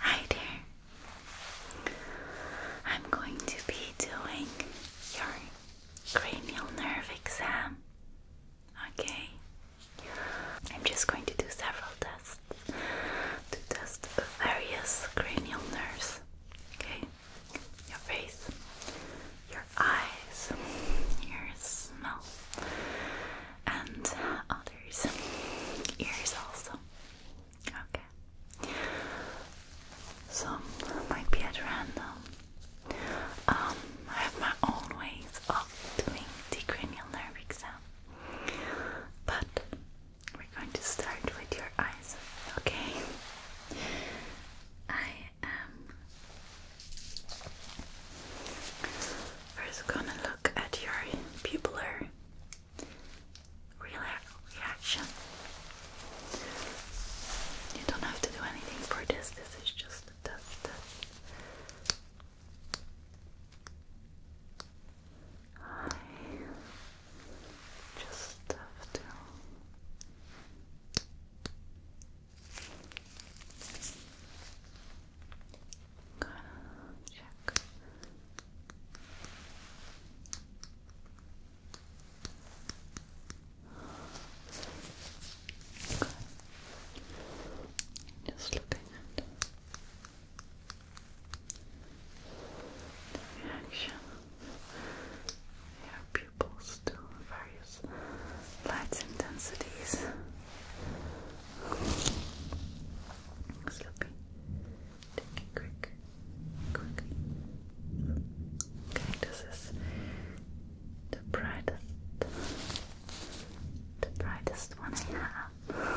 Hi there. I'm going to be doing your cranial nerve exam. Okay. I'm just going to do several tests to test various cranial nerves. Okay. Your face, your eyes, your smell, and other shoulders, ears also. Okay. Some might be at random. Um, I have my own ways of doing the cranial nerve exam, but we're going to start with your eyes. Okay. I am First, gonna look at your pupillar reaction. You don't have to do anything for this, this is just a test. I just have to check. Okay. Just looking at the reaction of your pupils to various light intensities. Sloppy. Take quick. Quick. Okay, this is the brightest the brightest one I have.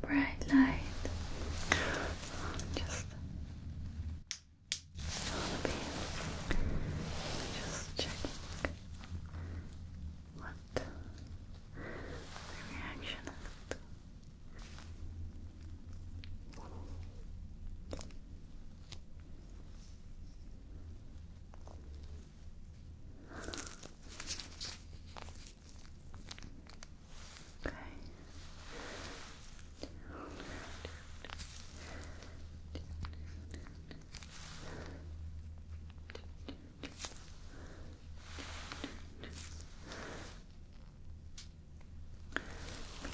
bright light. Just Just checking what the reaction is. Okay.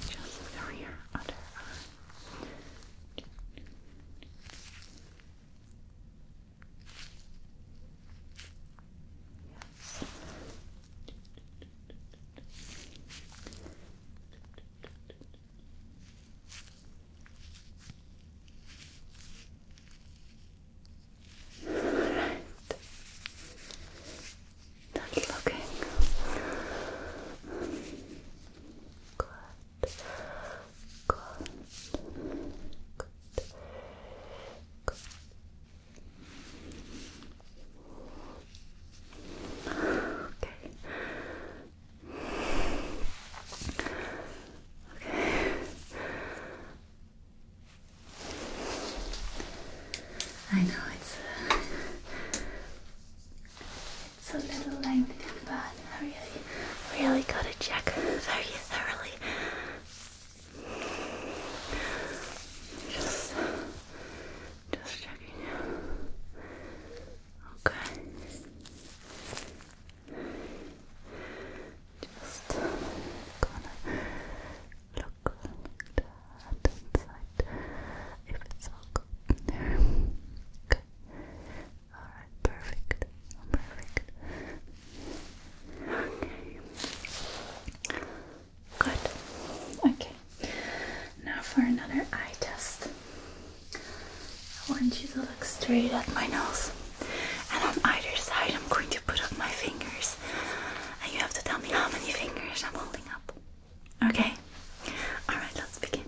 Just through your other Right. That's looking Good. Good. Okay. Okay. I know it's it's a little lengthy, but I really, really gotta check very thoroughly just, just checking. Okay. Just gonna look inside if it's all good in Alright, perfect. Perfect. Good. Okay. Now for another eye test. I want you to look straight at my nose. And on either side, I'm going to put up my fingers. And you have to tell me how many fingers I'm holding up. Okay? Alright, let's begin.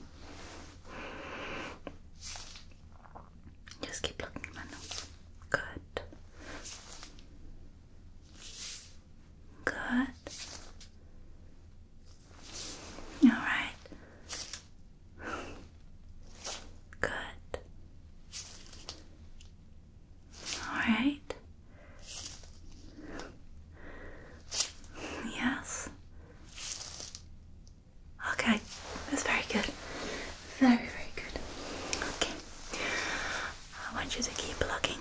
Just keep looking at my nose. Good. Good. Alright. Good. Alright. Yes. Okay, that's very good. Very, very good. Okay. I want you to keep looking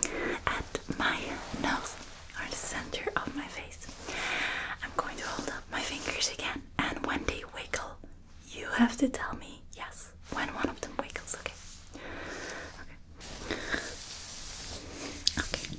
at my nose or the center of my face. I'm going to hold up my fingers again, and when they wiggle, you have to tell me yes when one of them wiggles, okay? Okay. Okay.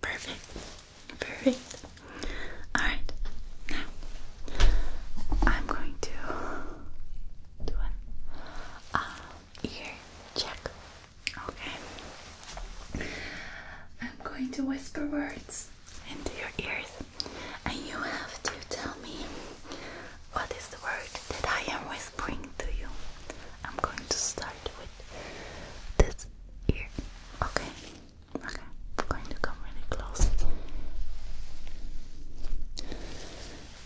Perfect. Perfect. Alright. I'm going to do an uh, ear check. Okay. I'm going to whisper words into your ears and you have to tell me what is the word that I am whispering to you? I'm going to start with this ear. Okay. Okay. I'm going to come really close.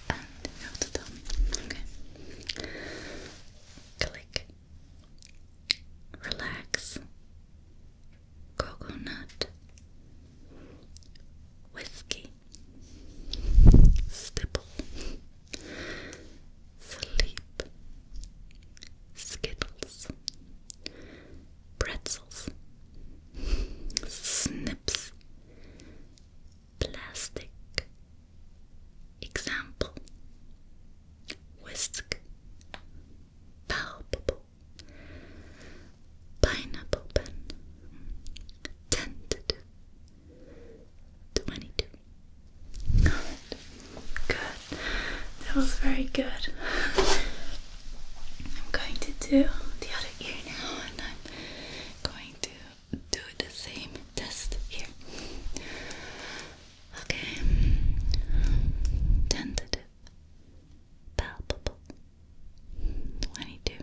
And you have to Okay. Click. Relax. Coconut. Whiskey stipple, sleep, skittles, pretzels, snips, plastic, example, whisk, palpable. Pineapple pen, tentative, 22. Good. That was very good. I'm going to do the other ear now and I'm going to do the same test here. Okay. Tentative. Palpable. 22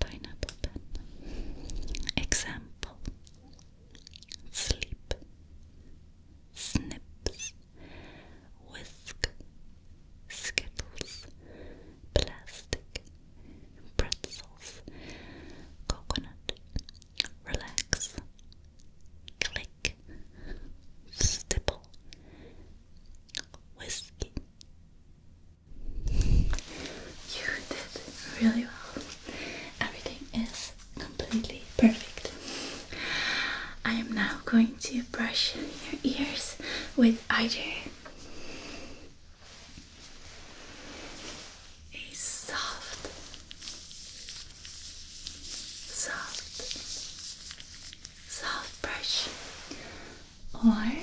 pineapple pen. Example Sleep, Snips, Whisk, Skittles, Plastic, Pretzels, Coconut, Relax, Click, Stipple, Whiskey. You did really well. Everything is completely perfect. I am now going to brush your ears with either a soft, soft, soft brush or hard,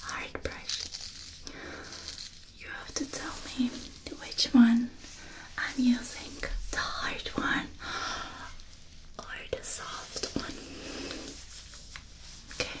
hard brush. You have to tell me which one I'm using the hard one or the soft one. Okay.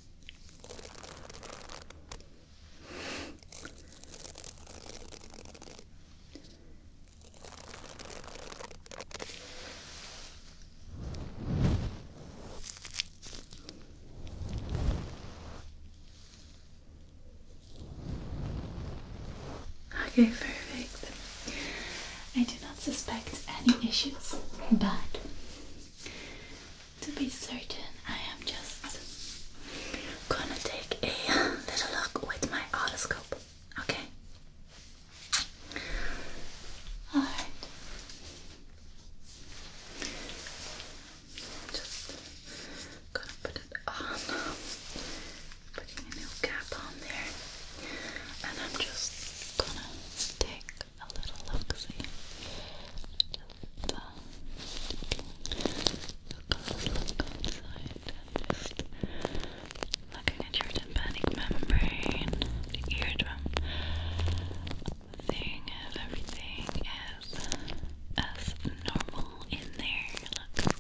Okay, perfect. I do not suspect any issues, but to be certain, I am just gonna take a little look with my otoscope, okay? Alright. Just gonna put it on. Putting a new cap on there. And I'm just gonna take a little look Just, uh, look, look outside and just looking at your tympanic membrane, the eardrum, seeing if everything is as normal in there. Looks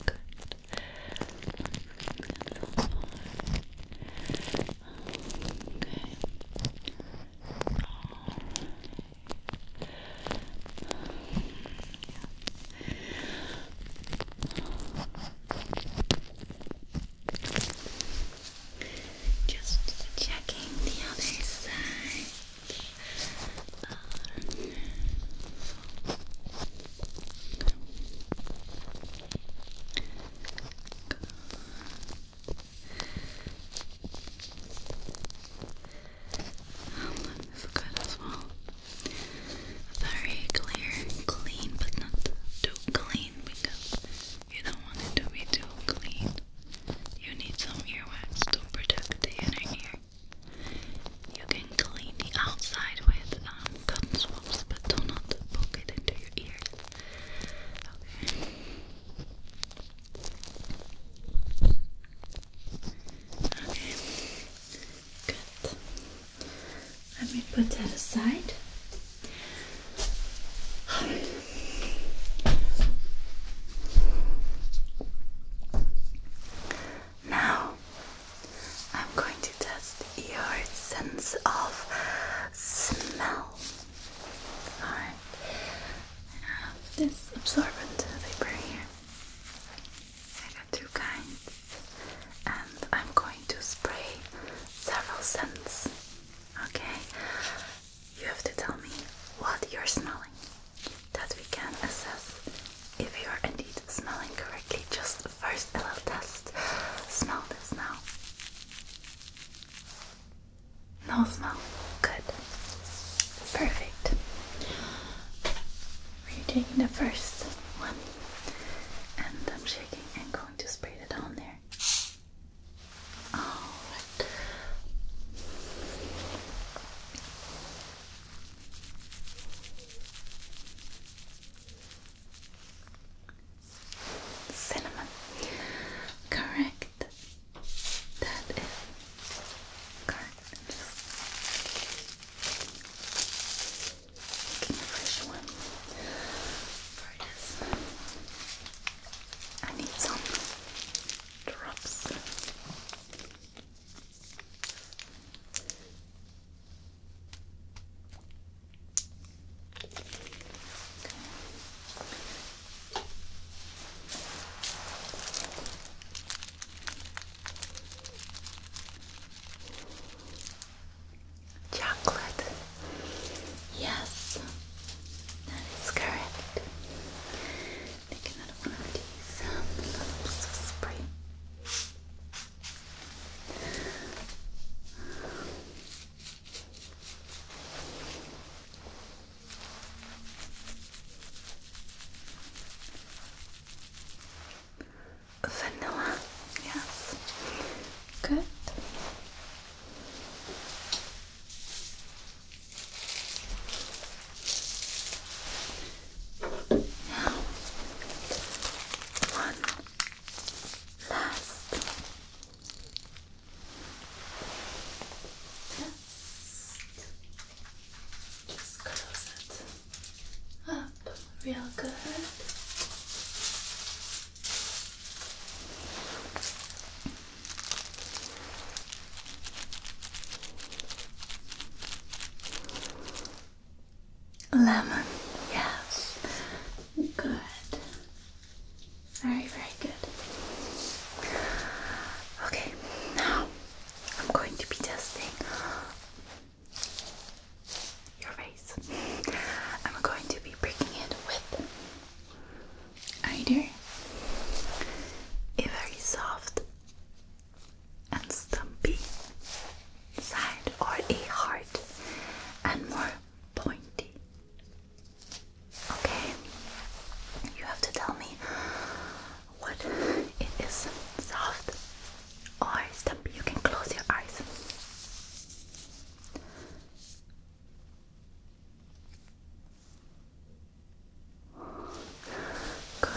good. Okay. Just checking the other side. Um, this is good as well. Very clear, clean, but not too clean because you don't want it to be too clean. You need some earwax to protect the inner ear. You can clean the outside with cotton swabs, but do not poke it into your ear. Okay. Good. Let me put that aside. Now I'm going to test your sense of smell. Alright. I have this absorbent paper here. I got two kinds. And I'm going to spray several scents. Okay? You have to tell me what you're smelling. That we can assess if you are indeed smelling correctly just First, a little test. Smell this now. No smell. Good. Perfect. Are you taking the first one and I'm shaking and going to spray it on there. Alright cinnamon. Correct. That is correct. i need some drops. Chocolate. Yes, that is correct. Take another one of these little spray. Vanilla, yes. Good. Now, one Last. Just, close it up real good. Lemon, yes. Good. Very, very good. Okay, now I'm going to be testing your face. I'm going to be breaking it with either a very soft and stumpy side or a heart and more pointy. Okay, you have to tell me what it is soft or stumpy. You can close your eyes. Good.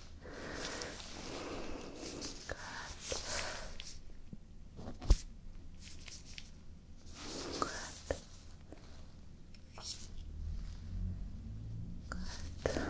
Good. Yes, good. Okay.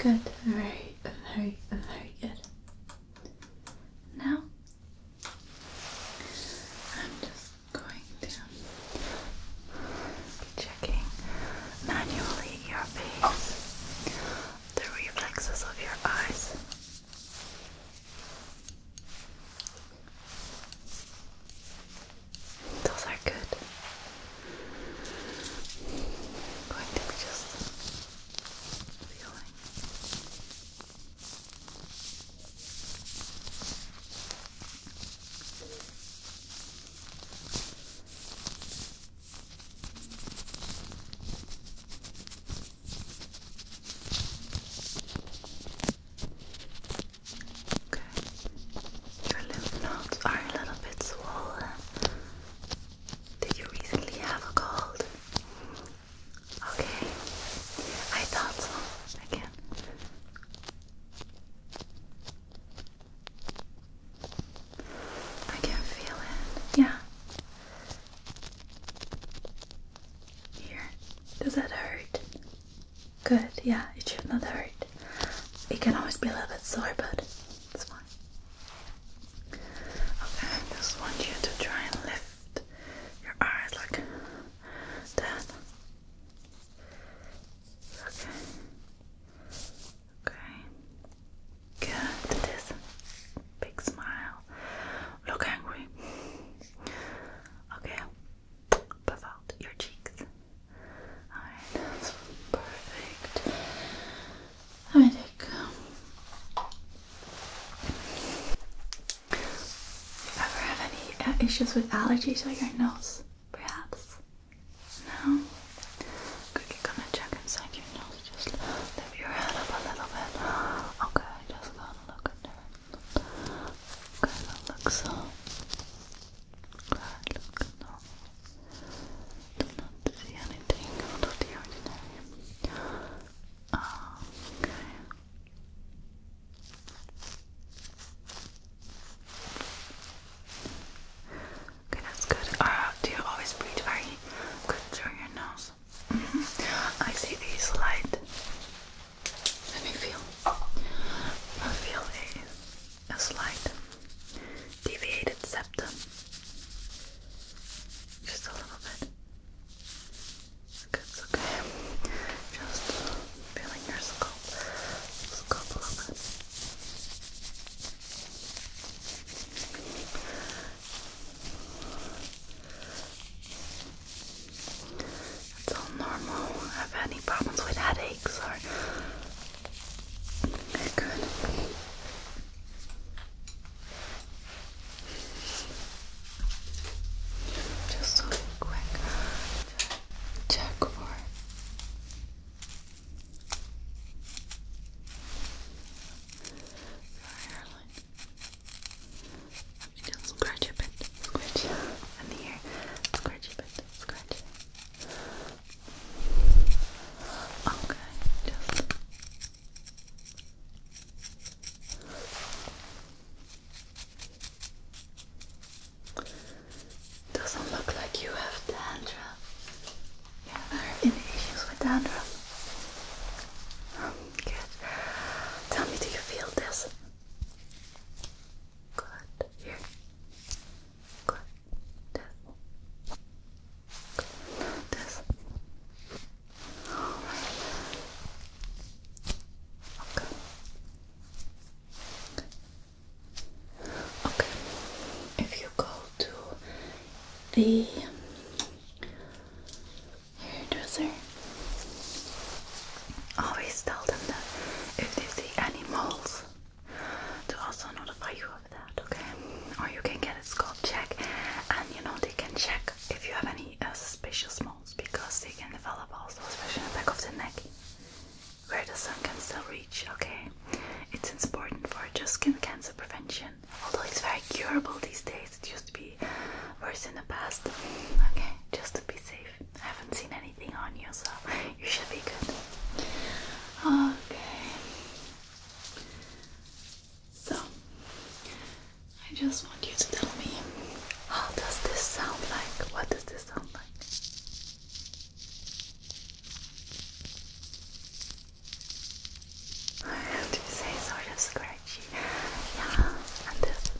Okay. Alright. Good. Very, very, very good. Now I'm just going to be checking manually your face the reflexes of your eyes. Those are good. going to be just feeling. Your lymph nodes are a little bit swollen. Did you recently have a cold? Okay. I thought so. Again. I can feel it. Yeah. Here. Does that hurt? Good. Yeah, it should not hurt. It can always be a little bit sore, but it's fine. Okay, I just want you to try and lift your eyes like that. Okay. Okay. Good. This big smile. Look angry. Okay. Puff out your cheeks. Alright, perfect. Let um, you ever have any uh, issues with allergies or your nose, perhaps? Now, quickly gonna check inside your nose. Just lift your head up a little bit. Okay, just gonna look at there. Gonna look Good, look no. Do not see anything out of the ordinary. Okay. Okay, that's good. Uh, do you always breathe very good through your nose? Mm-hmm. I see these light. Let me feel. I feel a, a slight deviated septum. Just a little bit. Okay, it's okay. Just feeling your scalp. Scalp a little bit. It's all normal. Have any problems with headaches or good? Just a quick check for your hairline. Let me just scratch a bit. Scratch on the ear. Scratch a bit. Scratch. Okay, just. Good. Doesn't look like you have dandruff. Yeah, there any issues with dandruff? Oh, good. Tell me, do you feel this? Good. Here. Good. This. This. Okay. Okay, if you go to the hairdresser, always tell them that if they see any moles, to also notify you of that, okay? Or you can get a scalp check, and you know they can check if you have any uh, suspicious moles because they can develop also, especially in the back of the neck where the sun can still reach, okay? It's important for just skin cancer prevention. Although it's very curable these days, it used to be worse in the past. Okay, just to be safe. I haven't seen anything on you, so you should be good. Okay. So, I just want you to tell me how does this sound like? What does this sound like? Hard to say, sort of scratchy. Yeah, and this.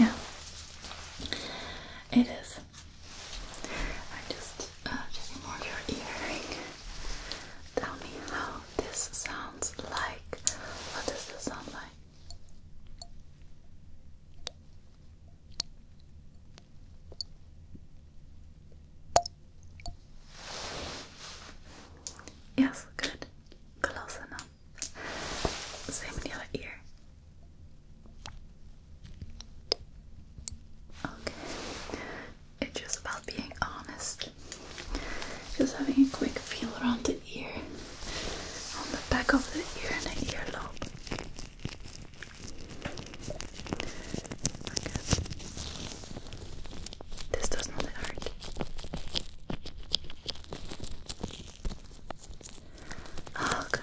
Yeah, it is. I'm just uh, checking your earring. Tell me how this sounds like. What does this sound like? Yes, good. Close enough. Same in the other ear. Okay. It's just about being honest. Just having a quick feel around the ear, on the back of the ear and the earlobe. Okay. This does not hurt. Oh, good.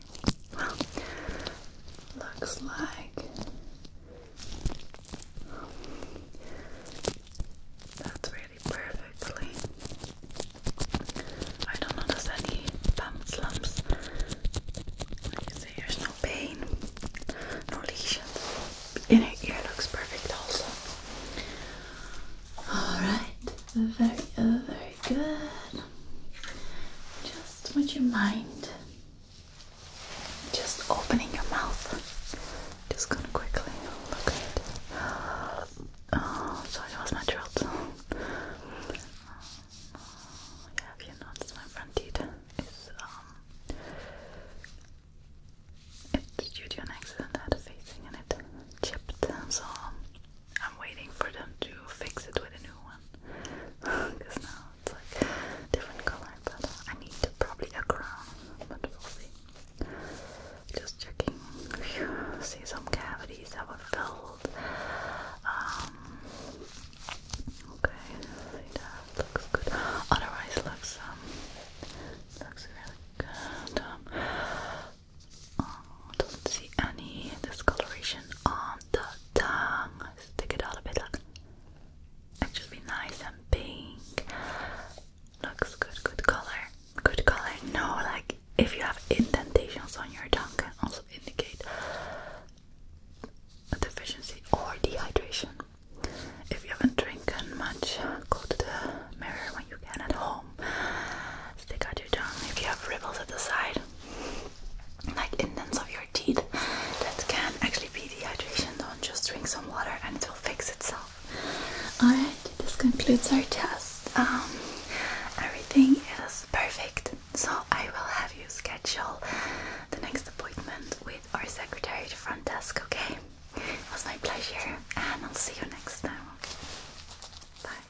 Well, looks like that's really perfectly. I don't notice any bump slumps. Like I there's no pain, no lesions. Inner ear looks perfect also. Alright, very, very good. Just would you mind just opening your mouth? Just gonna quickly look at it. Oh, sorry, that was my throat. Have you noticed my front teeth it's um, due accident had a facing and it chipped so um, I'm waiting for them to fix it with a new one because now it's like different color. But I need probably a crown, but we'll see. Just checking. see some cavities that were filled. Um, okay, see looks good. Otherwise, looks um, looks really good. Um, oh, don't see any discoloration on the tongue. Stick it out a bit. Look. It should be nice and pink. Looks good. Good color. Good color. No, like if you have indentations on your tongue, can also indicate a deficiency or dehydration. If you haven't drinking much, go to the mirror when you get at home. Stick out your tongue. If you have ripples at the side, like indents of your teeth that can actually be dehydration. Don't just drink some water and it will fix itself. Alright, this concludes our test. Um, everything is perfect. So I will have you schedule the next appointment with our secretary at the front desk, okay? It was my pleasure and I'll see you next time. Bye.